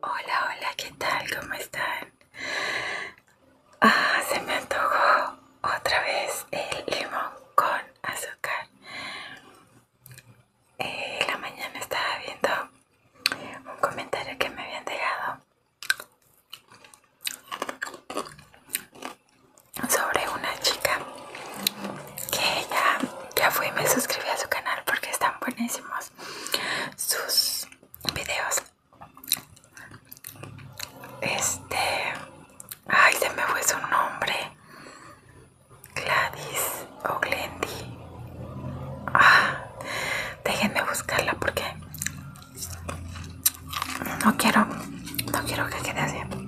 Hola, hola, ¿qué tal? ¿Cómo están? Ah, se me antojó otra vez el limón con azúcar. Eh, la mañana estaba viendo un comentario que me habían dejado sobre una chica que ya fui y me suscribí a su canal porque están buenísimos sus videos. Este, ay, se me fue su nombre. Gladys o Glendy. Ah, déjenme buscarla porque no quiero, no quiero que quede así.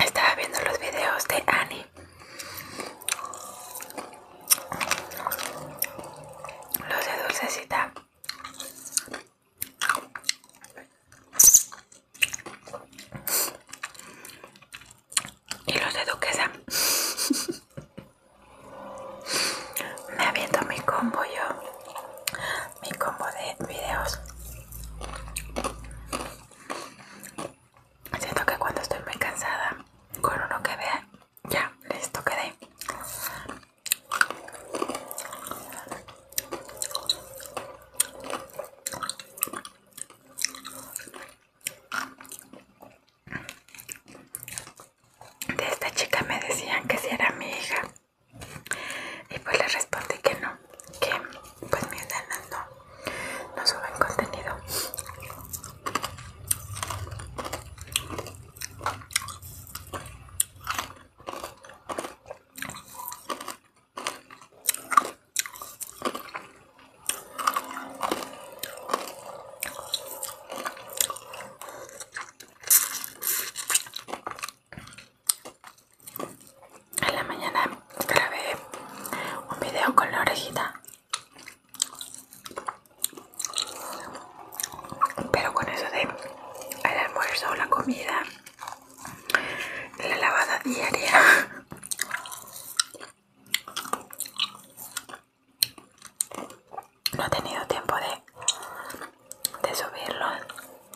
Estaba viendo los videos de Annie Los de Dulcecita y los de duquesa me aviento mi combo yo mi combo de videos siento que cuando estoy muy cansada con uno que vea ya listo quedé de esta chica me decían que si era mi hija. Y pues le respondí que no, que pues mis nenas no, no suben contenido. En la mañana grabé un video con la orejita, pero con eso de el almuerzo o la comida la lavada diaria no he tenido tiempo de, de subirlo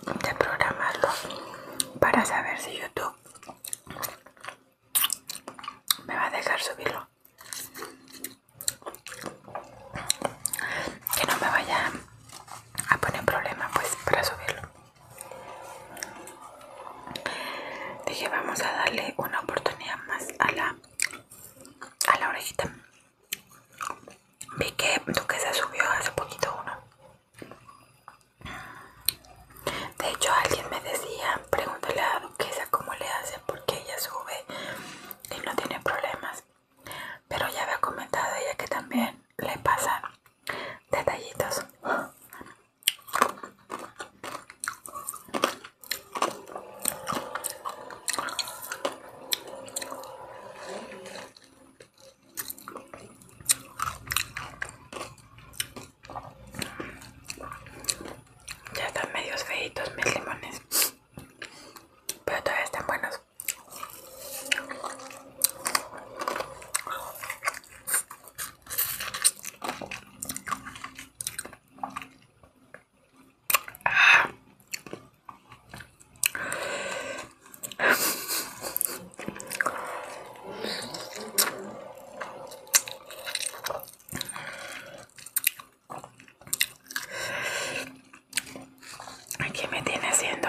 de programarlo para saber si youtube me va a dejar subirlo que no me vaya a poner problema pues para subirlo Dije, vamos a darle una oportunidad más a la, a la orejita. Vi que Duquesa subió hace poquito uno. De hecho, alguien me decía, pregúntale a Duquesa cómo le hace porque ella sube y no tiene problemas. Pero ya había comentado ella que también le pasa detallitos ya están medio feitos mis limones pero todavía están buenos ¿Qué me tiene haciendo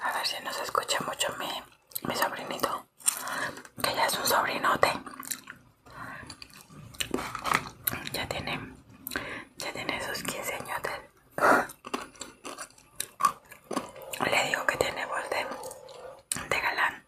A ver si nos escucha mucho mi, mi sobrinito, que ya es un sobrinote. Ya tiene, ya tiene esos 15 años. Le digo que tiene voz de, de galán.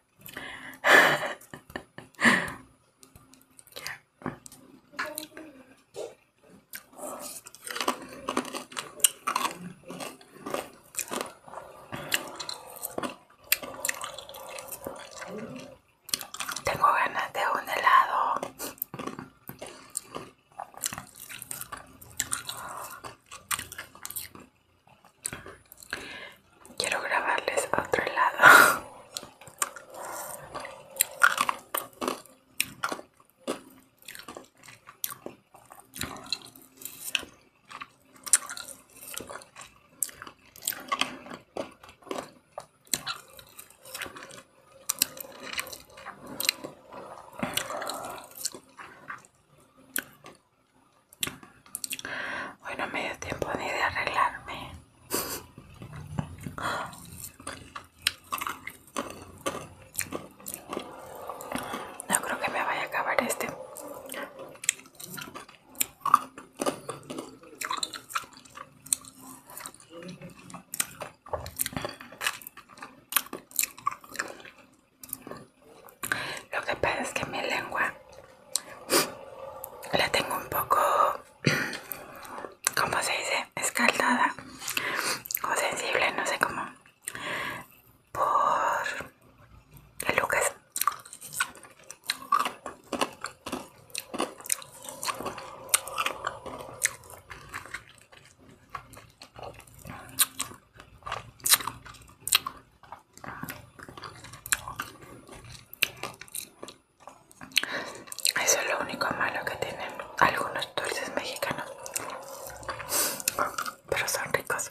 Tengo ganas de un helado. Quiero grabarles otro lado. Hoy no me dio tiempo ni de arreglarme. No creo que me vaya a acabar este. Lo que pasa es que mi lengua la tengo un poco, ¿cómo se dice? Escaldada o sensible, no sé cómo, por Lucas. Eso es lo único malo que tienen algunos dulces mexicanos, pero son ricos.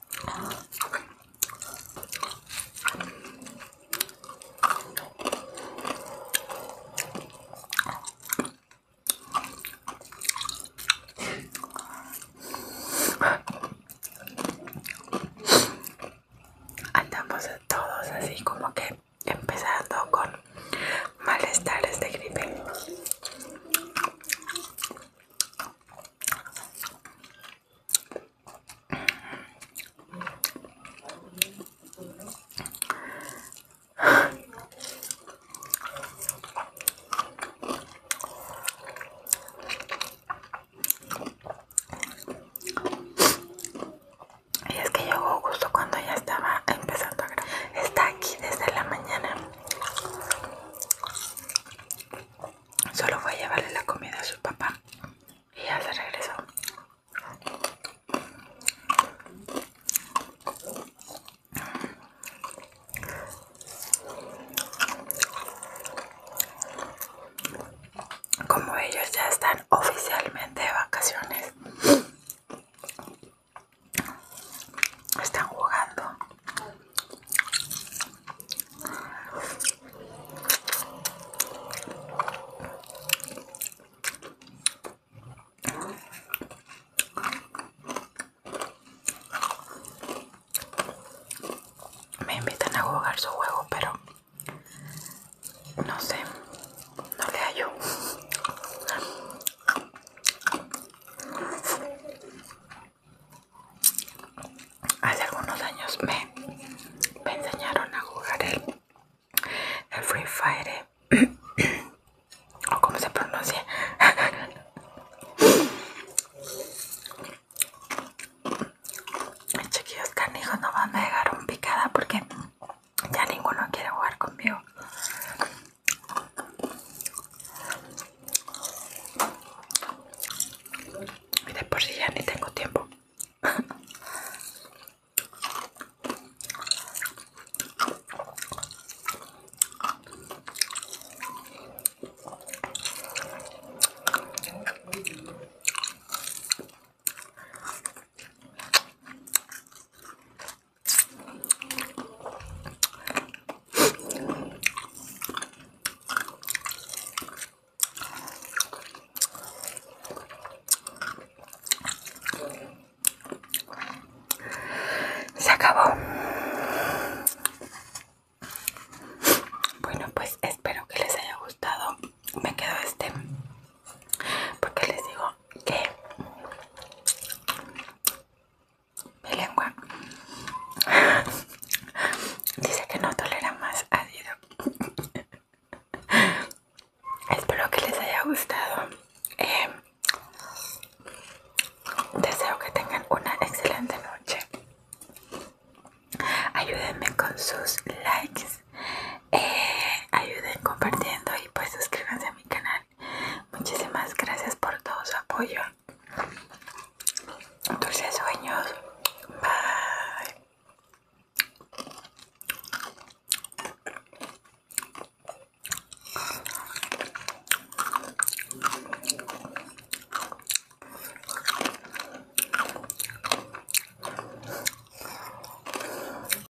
Andamos todos así como que empezando con malestares de gripe. Y es que llegó justo cuando ya estaba empezando a grabar. Está aquí desde la mañana. Solo fue a llevarle la comida a su papá y ya se regresó. Como ellos ya están oficialmente de vacaciones, están jugando. Me invitan a jugar su juego, pero no sé, no le hallo. Hace algunos años me, enseñaron a jugar el, Free Fire o como se pronuncia. no van a me un picada porque ya ninguno quiere jugar conmigo. Y después si ya ni tengo tiempo. Se acabó. Bueno, pues espero que les haya gustado. Me quedo este porque les digo que mi lengua dice que no tolera más ácido. Espero que les haya gustado. Em, deseo que tengan una excelente noche. Ayúdenme con sus likes. Eh, ayuden compartiendo y pues suscríbanse a mi canal Muchísimas gracias por todo su apoyo. Dulces sueños. Bye.